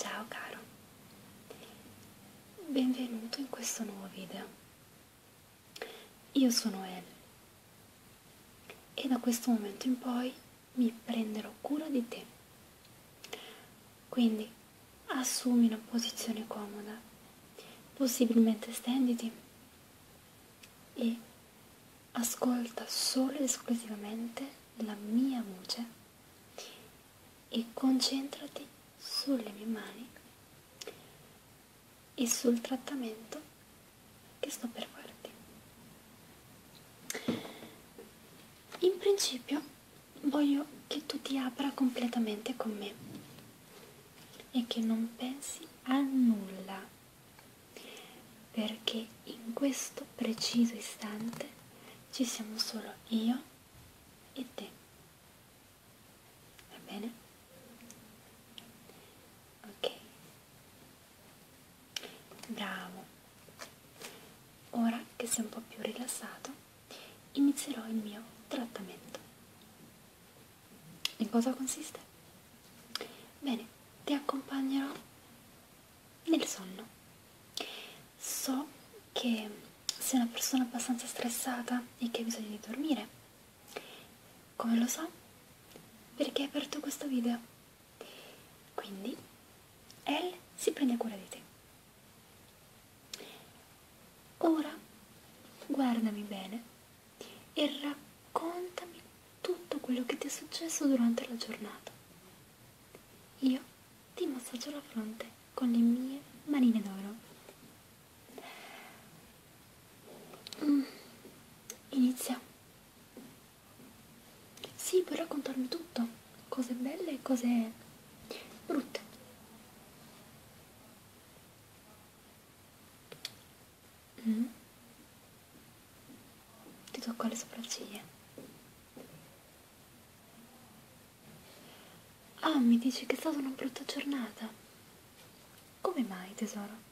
Ciao caro, benvenuto in questo nuovo video. Io sono El e da questo momento in poi mi prenderò cura di te. Quindi assumi una posizione comoda, possibilmente stenditi e ascolta solo ed esclusivamente la mia voce e concentrati sulle mie mani e sul trattamento che sto per farti. In principio voglio che tu ti apra completamente con me e che non pensi a nulla perché in questo preciso istante ci siamo solo io e te. Va bene? Ok. Bravo. Ora che sei un po' più rilassato, inizierò il mio trattamento. In cosa consiste? Bene, ti accompagnerò nel sonno. So che sei una persona abbastanza stressata e che hai bisogno di dormire. Come lo so? Perché hai aperto questo video. Quindi, Elle si prende cura di te. Ora, guardami bene e raccontami tutto quello che ti è successo durante la giornata. Io ti massaggio la fronte con le mie manine d'oro. Mm. Inizia. Sì, puoi raccontarmi tutto, cose belle e cose brutte. Mm. Ti tocco le sopracciglia. Ah, mi dici che è stata una brutta giornata. Come mai, tesoro?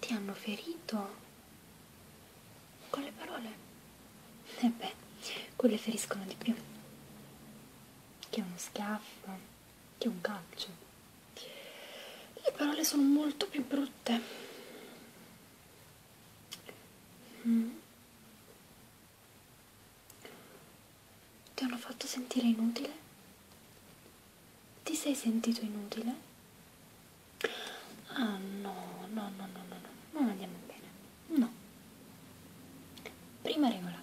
Ti hanno ferito? Con le parole? E eh beh, quelle feriscono di più. Che uno schiaffo che un calcio. Le parole sono molto più brutte. Mm. Ti hanno fatto sentire inutile? Ti sei sentito inutile? Ah no, no, no, no, no, no, non andiamo bene. No, Prima regola,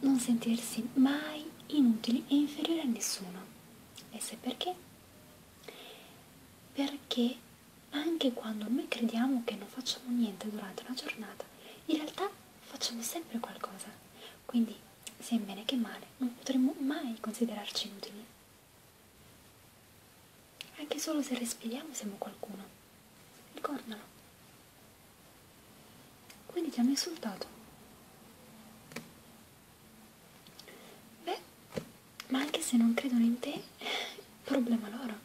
non sentirsi mai inutili e inferiori a nessuno. E se perché? Perché anche quando noi crediamo che non facciamo niente durante una giornata, in realtà facciamo sempre qualcosa. Quindi, sia in bene che male, non potremmo mai considerarci inutili. Anche solo se respiriamo siamo qualcuno. Ricordalo. Quindi ti hanno insultato. Beh, ma anche se non credono in te, problema loro.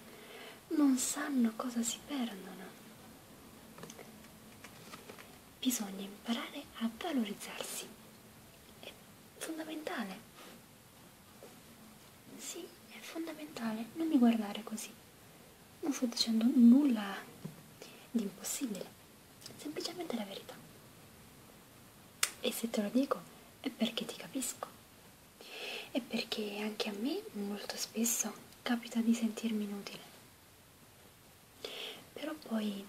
Non sanno cosa si perdono. Bisogna imparare a valorizzarsi. È fondamentale. Sì, è fondamentale. Non mi guardare così non sto dicendo nulla di impossibile, semplicemente la verità. E se te lo dico è perché ti capisco. E perché anche a me molto spesso capita di sentirmi inutile. Però poi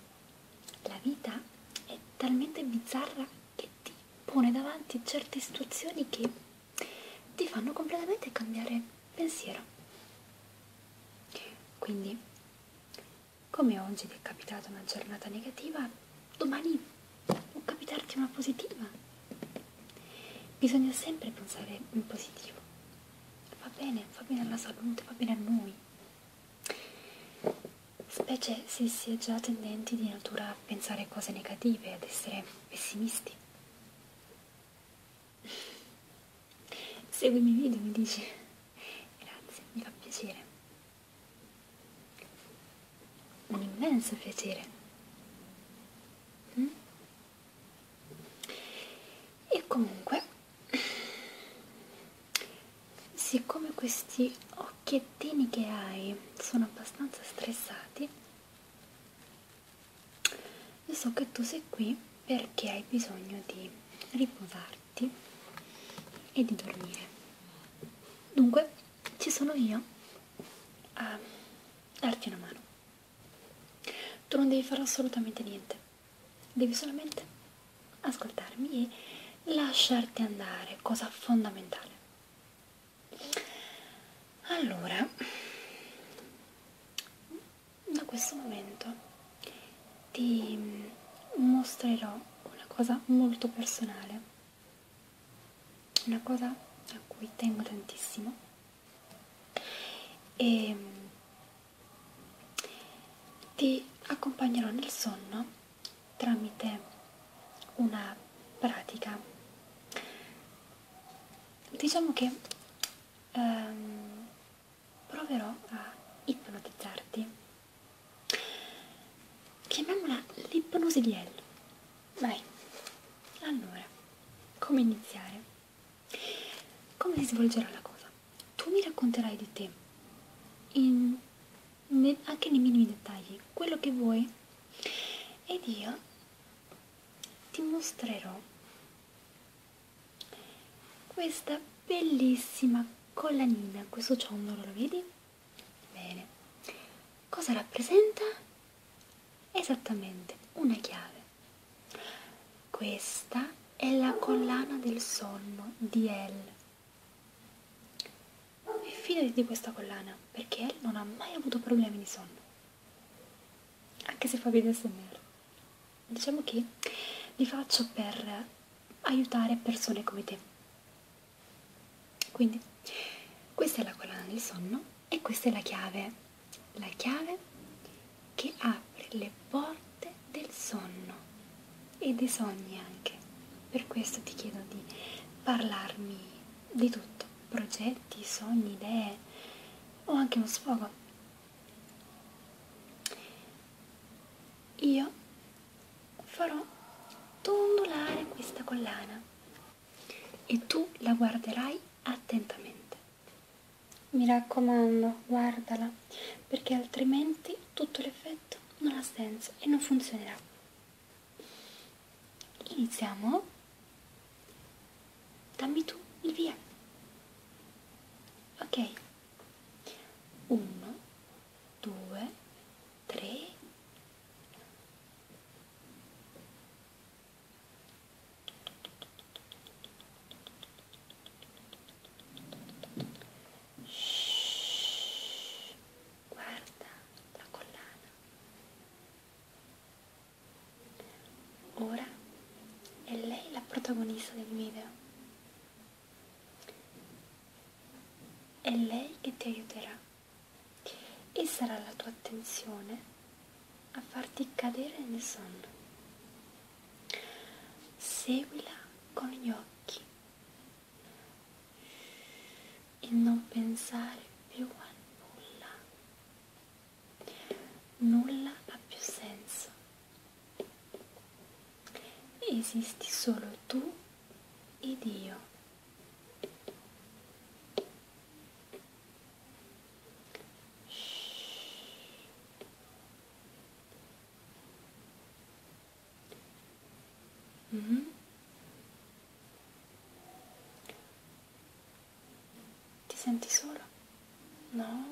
la vita è talmente bizzarra che ti pone davanti certe situazioni che ti fanno completamente cambiare pensiero. Quindi, come oggi ti è capitata una giornata negativa, domani può capitarti una positiva. Bisogna sempre pensare in positivo. Va bene, fa bene alla salute, va bene a noi. Specie se si è già tendenti di natura a pensare cose negative, ad essere pessimisti segui i miei video mi dici grazie mi fa piacere un immenso piacere mm? e comunque siccome questi occhiettini che hai sono abbastanza stressati io so che tu sei qui perché hai bisogno di riposarti e di dormire. Dunque, ci sono io a darti una mano. Tu non devi fare assolutamente niente, devi solamente ascoltarmi e lasciarti andare, cosa fondamentale. Allora, da questo momento ti mm, mostrerò una cosa molto personale, una cosa a cui tengo tantissimo e mm, ti accompagnerò nel sonno tramite una pratica. Diciamo che ehm, proverò a ipnotizzarti. Chiamiamola l'ipnosi di L. Vai, allora, come iniziare? Come si svolgerà la cosa? Tu mi racconterai di te, in, ne, anche nei minimi dettagli, quello che vuoi, ed io ti mostrerò questa bellissima collanina, questo ciondolo, lo vedi? Bene, cosa rappresenta? Esattamente, una chiave. Questa è la collana del sonno di El. E fidati di questa collana, perché El non ha mai avuto problemi di sonno anche se fa video smr diciamo che li faccio per aiutare persone come te quindi questa è la collana del sonno e questa è la chiave la chiave che apre le porte del sonno e dei sogni anche per questo ti chiedo di parlarmi di tutto progetti sogni idee o anche uno sfogo io farò tondolare questa collana e tu la guarderai attentamente mi raccomando guardala perché altrimenti tutto l'effetto non ha senso e non funzionerà iniziamo Dammi tu il via. Ok. Uno, due, tre. Shhh, guarda la collana. Ora è lei la protagonista del video. È lei che ti aiuterà e sarà la tua attenzione a farti cadere nel sonno. Seguila con gli occhi e non pensare più a nulla nulla ha più senso. Esisti solo tu ed io. Shhh. Mm -hmm. Ti senti solo? No,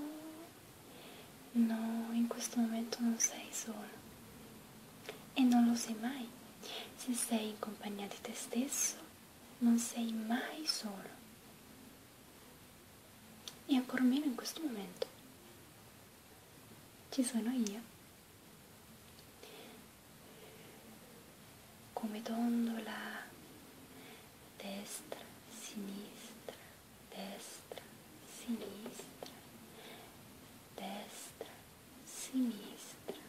no, in questo momento non sei solo. E non lo sei mai. Se sei in compagnia di te stesso, non sei mai solo. E ancora meno in questo momento. Ci sono io. Come dondola destra, sinistra, destra, sinistra, destra, sinistra.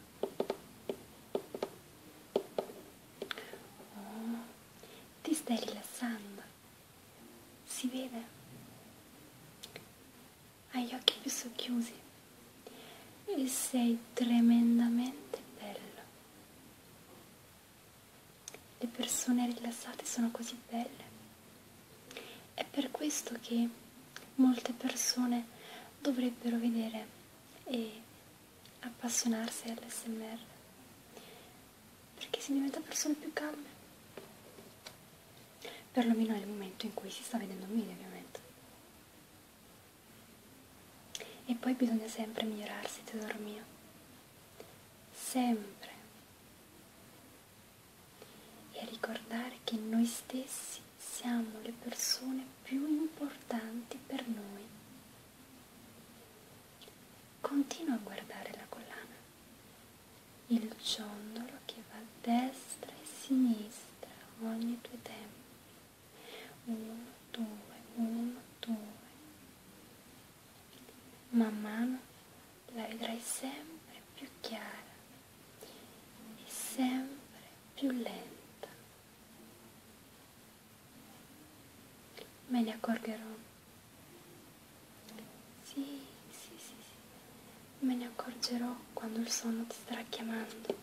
Oh, ti stai rilassando? Si vede? Hai gli occhi più socchiusi e sei tremendamente bello. Le persone rilassate sono così belle. È per questo che molte persone dovrebbero vedere e appassionarsi all'SMR perché si diventa persone più calme. Perlomeno nel momento in cui si sta vedendo un video, ovviamente. E poi bisogna sempre migliorarsi, tesoro mio sempre e a ricordare che noi stessi siamo le persone più importanti per noi. Continua a guardare la collana, il ciondolo che va a destra e a sinistra ogni due tempi. Uno, due, uno, due man mano la vedrai sempre più chiara e sempre più lenta. Me ne accorgerò. Sì, sì, sì, sì. Me ne accorgerò quando il sonno ti starà chiamando.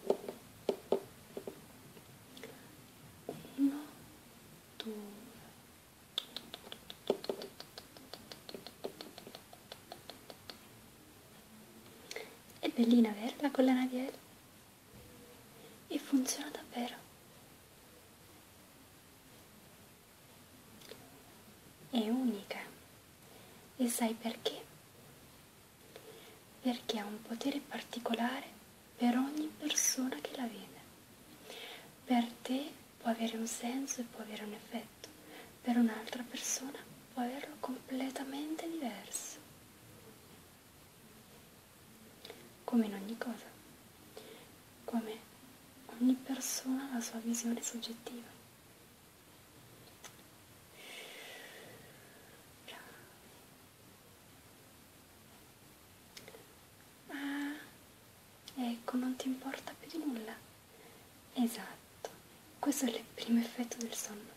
No, fattura è bellina vero la collana di L e funziona davvero è unica e sai perché? perché ha un potere particolare per ogni persona che la vede. Per te può avere un senso e può avere un effetto, per un'altra persona può averlo completamente diverso. Come in ogni cosa, come ogni persona ha la sua visione soggettiva. Bravi. Ah, ecco, non ti importa più di nulla. Esatto, questo è il primo effetto del sonno.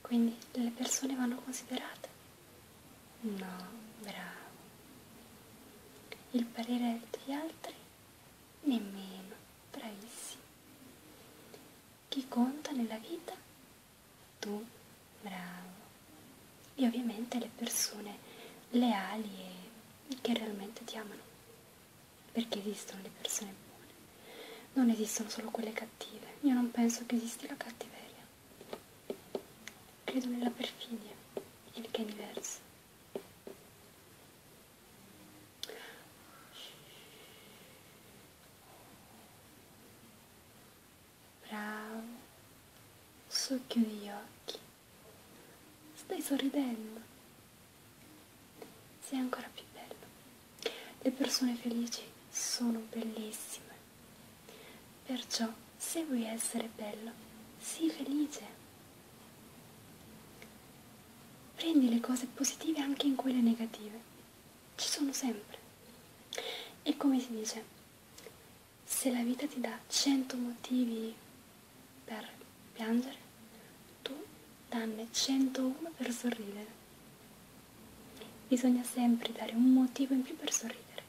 Quindi le persone vanno considerate? No, bravo. Il parere degli altri? Nemmeno, bravissimo. Chi conta nella vita tu bravo e ovviamente le persone leali e che realmente ti amano perché esistono le persone buone non esistono solo quelle cattive io non penso che esista la cattiveria credo nella perfidia il che è diverso Bravo. Su chiudi gli occhi. Stai sorridendo. Sei ancora più bello. Le persone felici sono bellissime. Perciò, se vuoi essere bello, sii felice. Prendi le cose positive anche in quelle negative. Ci sono sempre. E come si dice? se la vita ti dà 100 motivi per piangere, tu danne 101 per sorridere. Bisogna sempre dare un motivo in più per sorridere.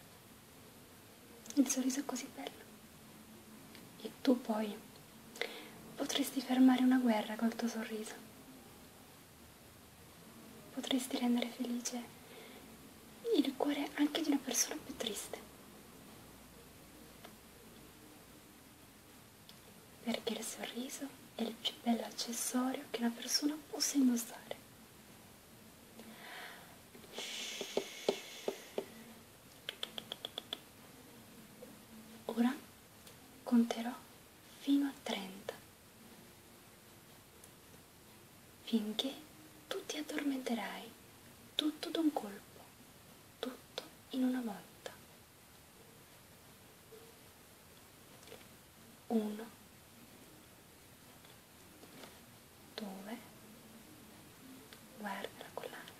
Il sorriso è così bello. E tu poi potresti fermare una guerra col tuo sorriso potresti rendere felice il cuore anche di una persona più triste. Perché il sorriso è il più bello accessorio che una persona possa indossare. Ora conterò fino a 30 finché tu ti addormenterai tutto d'un colpo, tutto in una volta. Uno, due, guarda la collana,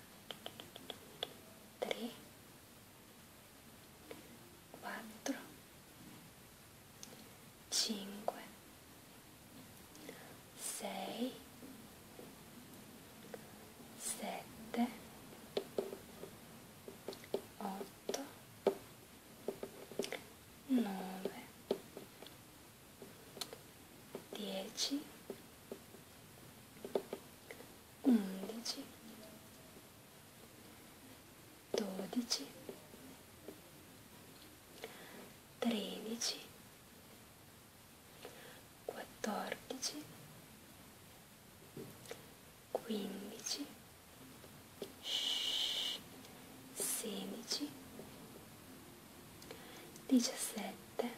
tre, quattro, 5 6 7 8 9 10 11 dodici, tredici, quattordici, quindici, sedici, diciassette,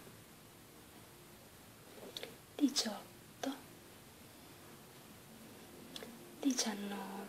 diciotto, diciannove.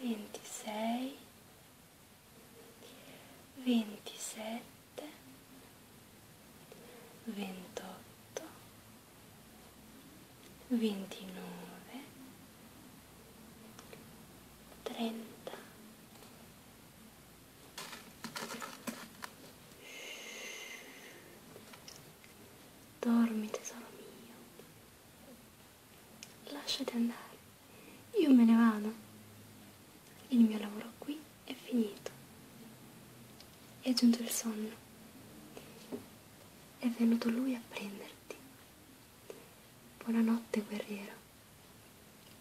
ventisei, ventisette, ventotto, ventinove, trenta. Dormi tesoro mio. Lasciati andare, io me ne vado. Il mio lavoro qui è finito. È giunto il sonno. È venuto lui a prenderti. Buonanotte, guerriero.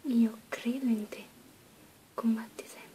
Io credo in te. Combatti sempre.